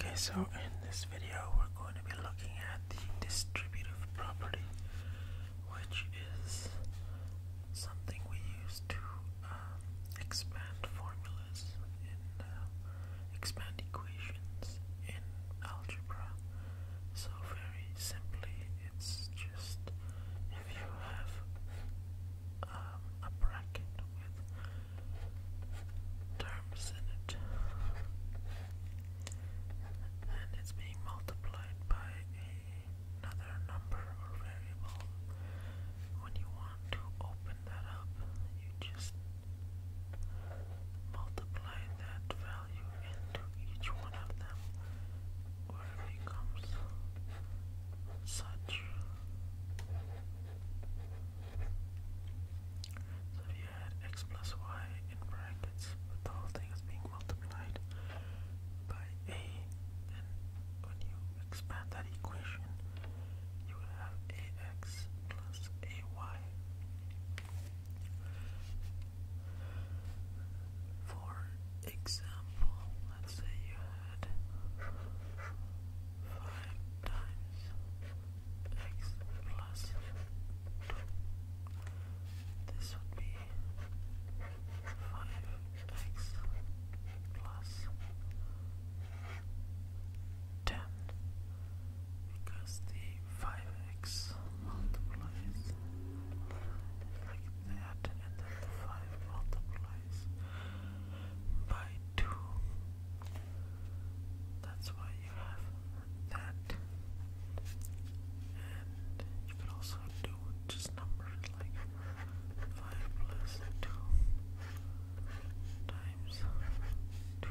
Okay, so in this video we're going to be looking at the distributive property, which is something we use to um, expand formulas uh, expand equations in algebra. So very simply, it's just if you have um, a bracket with terms in it and it's being multiplied by another number or variable, when you want to open that up, you just multiply that value value into each one of them, or it becomes such. So if you add x plus y in brackets, but the whole thing is being multiplied by a, then when you expand that equation, you would have ax plus ay. For example, let's say you had five times x plus two. This would be five x plus ten because the five x multiplies like that, and then 5 multiplies by 2. That's why you have that. And you can also do just numbers like 5 plus 2 times 2.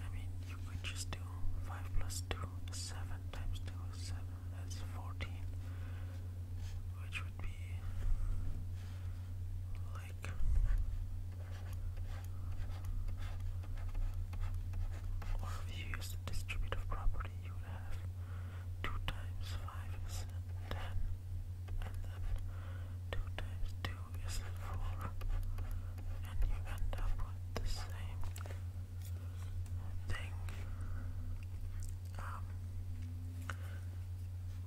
I mean, you could just do 5 plus 2 is 7 times 2 is 7, that's 14, which would be like or if you use the distributive property, you would have 2 times 5 is 10, and then 2 times 2 is 4, and you end up with the same thing. Um,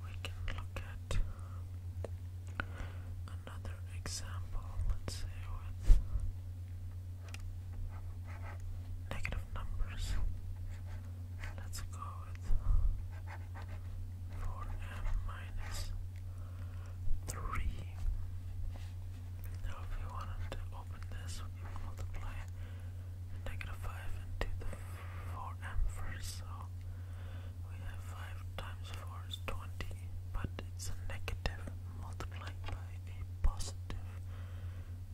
we can look at another example, let's say with negative numbers. Let's go with 4m minus three. Now if we wanted to open this, we multiply negative five into the four m first, so we have five times four is twenty, but it's a negative multiplied by a positive.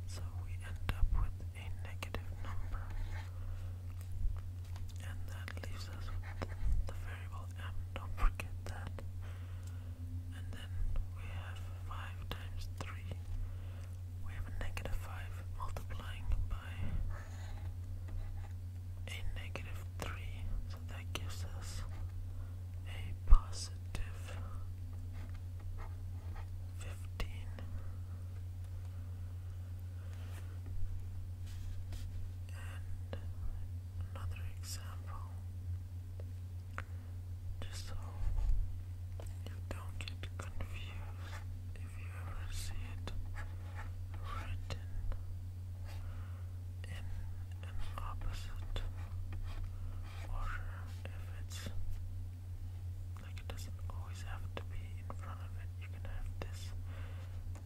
So we end up with a negative number. And that leaves us with the variable m. Don't forget that and then we have 5 times 3, we have a negative 5 multiplying by a negative 3, so that gives us a positive 15. And another example. Just so you don't get confused if you ever see it written in opposite order, if it's like it doesn't always have to be in front of it. You can have this,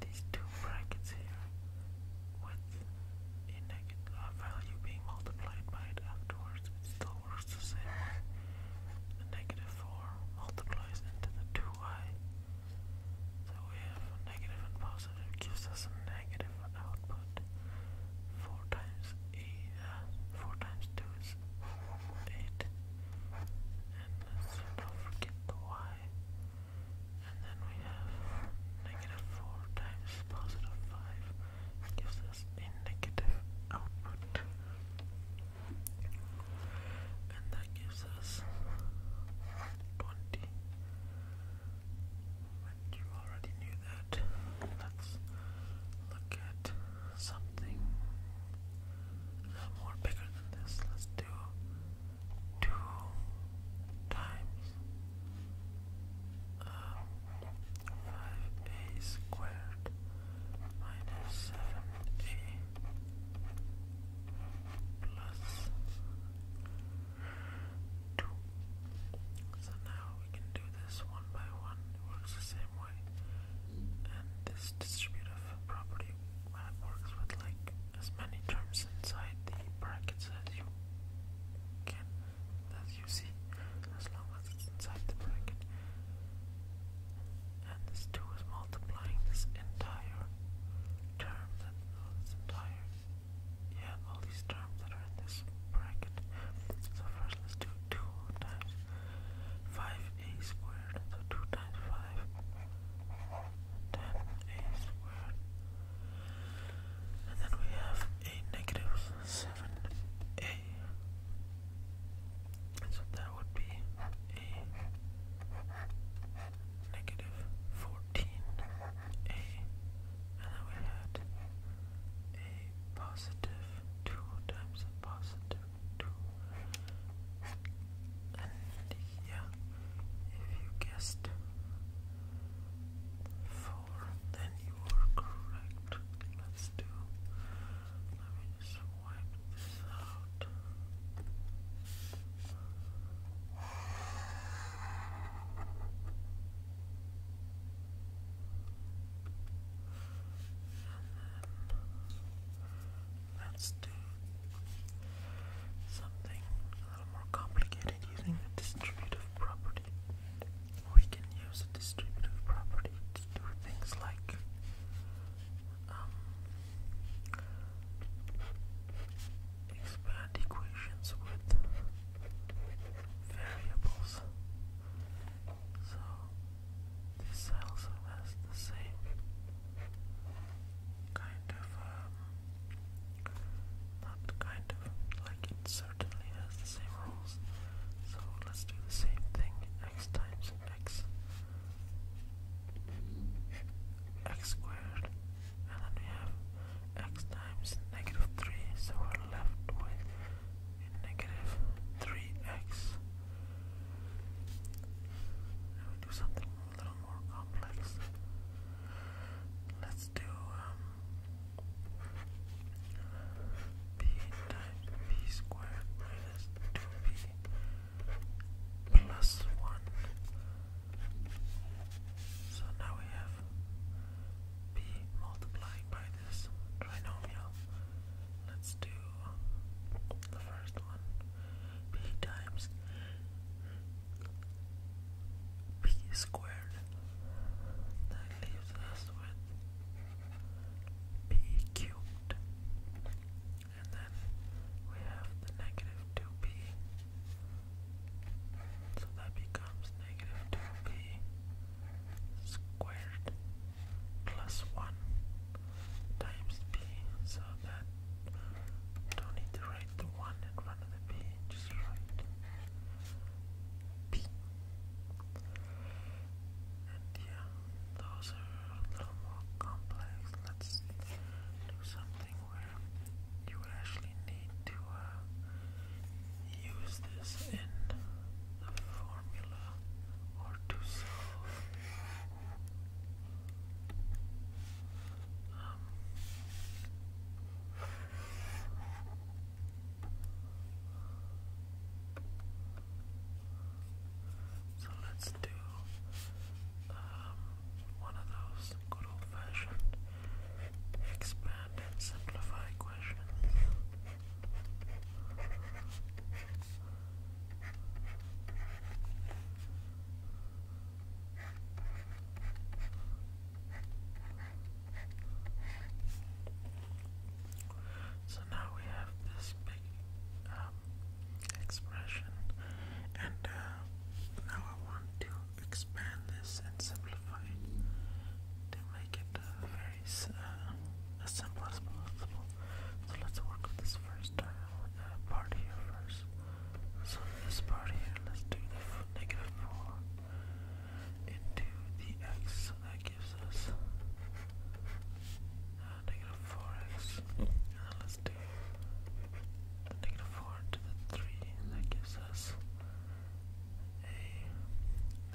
these two brackets here, with a negative uh, value being multiplied by it afterwards, it still works the same way. 4 multiplies into the 2i. So we have and positive gives us a negative output. 4 times, eight, uh, four times 2 is 8. And let not forget the y. And then we have negative 4 times positive 5 gives us a negative output. And that gives us 20. And you already knew that. Let's look at something more bigger than this. Let's do two times 5a um, squared minus 7a plus 2. So now we can do this one by one, it works the same way. And this distributive property works with like as many terms inside the brackets as you can, as you see, as long as it's inside the bracket. And this 2 is multiplying this entire term, that, this entire, yeah, all these terms that are in this bracket. So first let's do 2 times 5a squared, so 2 times 5, a squared and then we have a negative 7a. So that would be a negative 14a. And then we had a positive 2 times a positive 2. And yeah, if you guessed four, then you were correct. Let's do, let me just this out. let's do something more complicated using the distributive property. We can use the distributive property to do things like um, expand equations with variables. So this also has the same kind of um, not kind of, like it certainly has the same rules. So let's do the same thing, x times x, x squared, and then we have x times negative 3, so we're left with negative 3x. Now we do something a little more complex. Let's do b times b squared minus 2b plus 1. So now we have b multiplying by this trinomial. Let's do the first one. b times p squared that leaves us with p cubed and then we have the negative 2p so that becomes negative 2p squared plus 1 times p so that don't need to write the one in front of the P, just write P. And yeah, those are a little more complex. Let's do something where you actually need to uh, use this in the formula or to solve. Um, so let's do um, one of those good old fashioned expand and simplify questions. So now we have this big um, expression, and uh, now I want to expand this and simplify to make it uh, uh, as simple as possible. So let's work with this first part here first. So this part here, let's do the negative 4 into the x. So that gives us uh, negative 4x. And let's do the negative 4 into the 3. that gives us a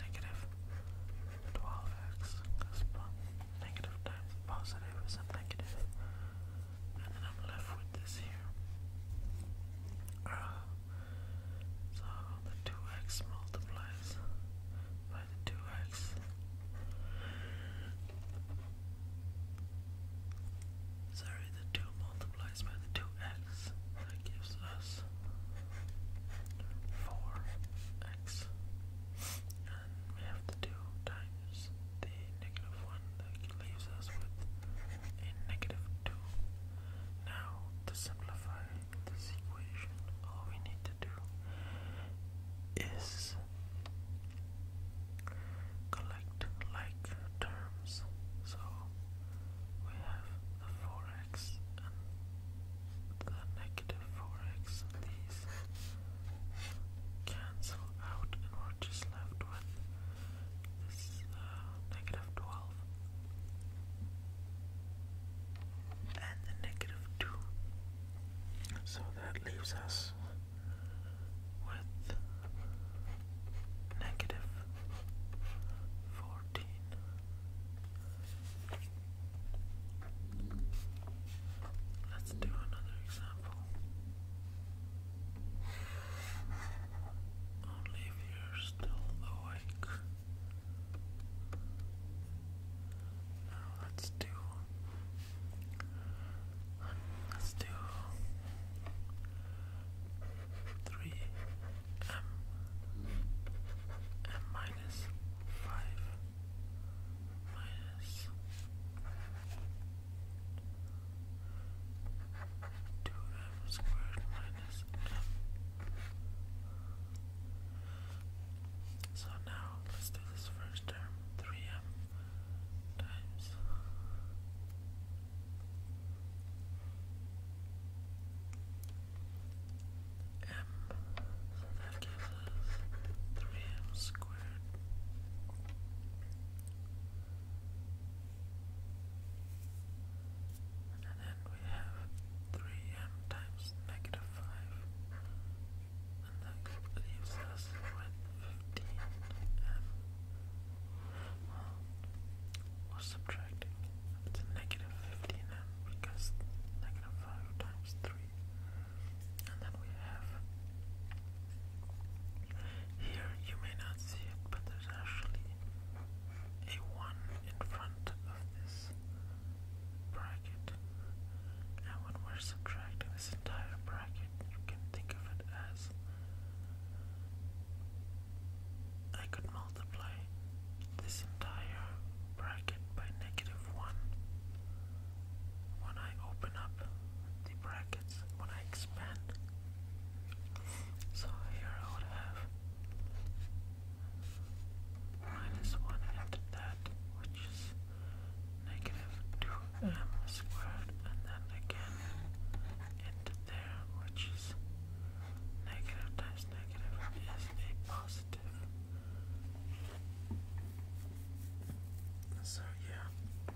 negative 12x. Because negative times positive is negative and then I'm left with this here. Uh, so the 2x multiplies by the 2x. Sorry, the 2 multiplies by the 2x. That gives us 4x. And we have to do times the negative 1 that leaves us with a negative 2. Now, to simplify this equation, all we need to do is collect like terms. So, we have the 4x and the negative 4x. These cancel out and we're just left with this uh, 12 and the negative 2. So that leaves us with negative 14. Let's do another example. Only if you're still awake. Now let's do. Let's do three m m minus five minus 2m squared minus m. So now let's do this first term 3m times m So that gives us 3m squared and then we have 3m times negative 5. And that leaves us with 15m. Well, we're subtracting. It's negative 15m because negative 5 times 3. And then we have here you may not see it, but there's actually a 1 in front of this bracket. And when we're subtracting this entire bracket, you can think of it as I could multiply this entire bracket by negative 1 when I open up the brackets, when I expand. So here I would have minus 1 and that, which is negative 2m squared, and then again into there, which is negative times negative is a positive. So, yeah.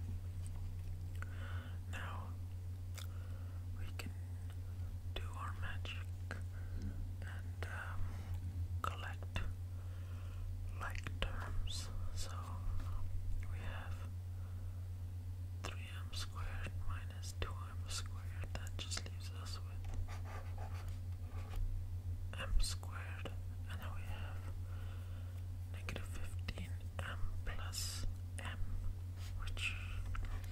Now we can do our magic and um, collect like terms. So we have 3m squared minus 2m squared, that just leaves us with m squared, and then we have negative 15 m plus m, which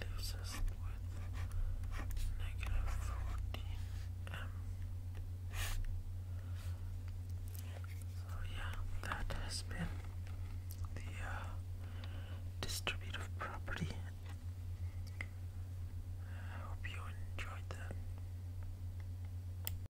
leaves us with negative 14 m. So yeah, that has been the uh, distributive property. I hope you enjoyed that.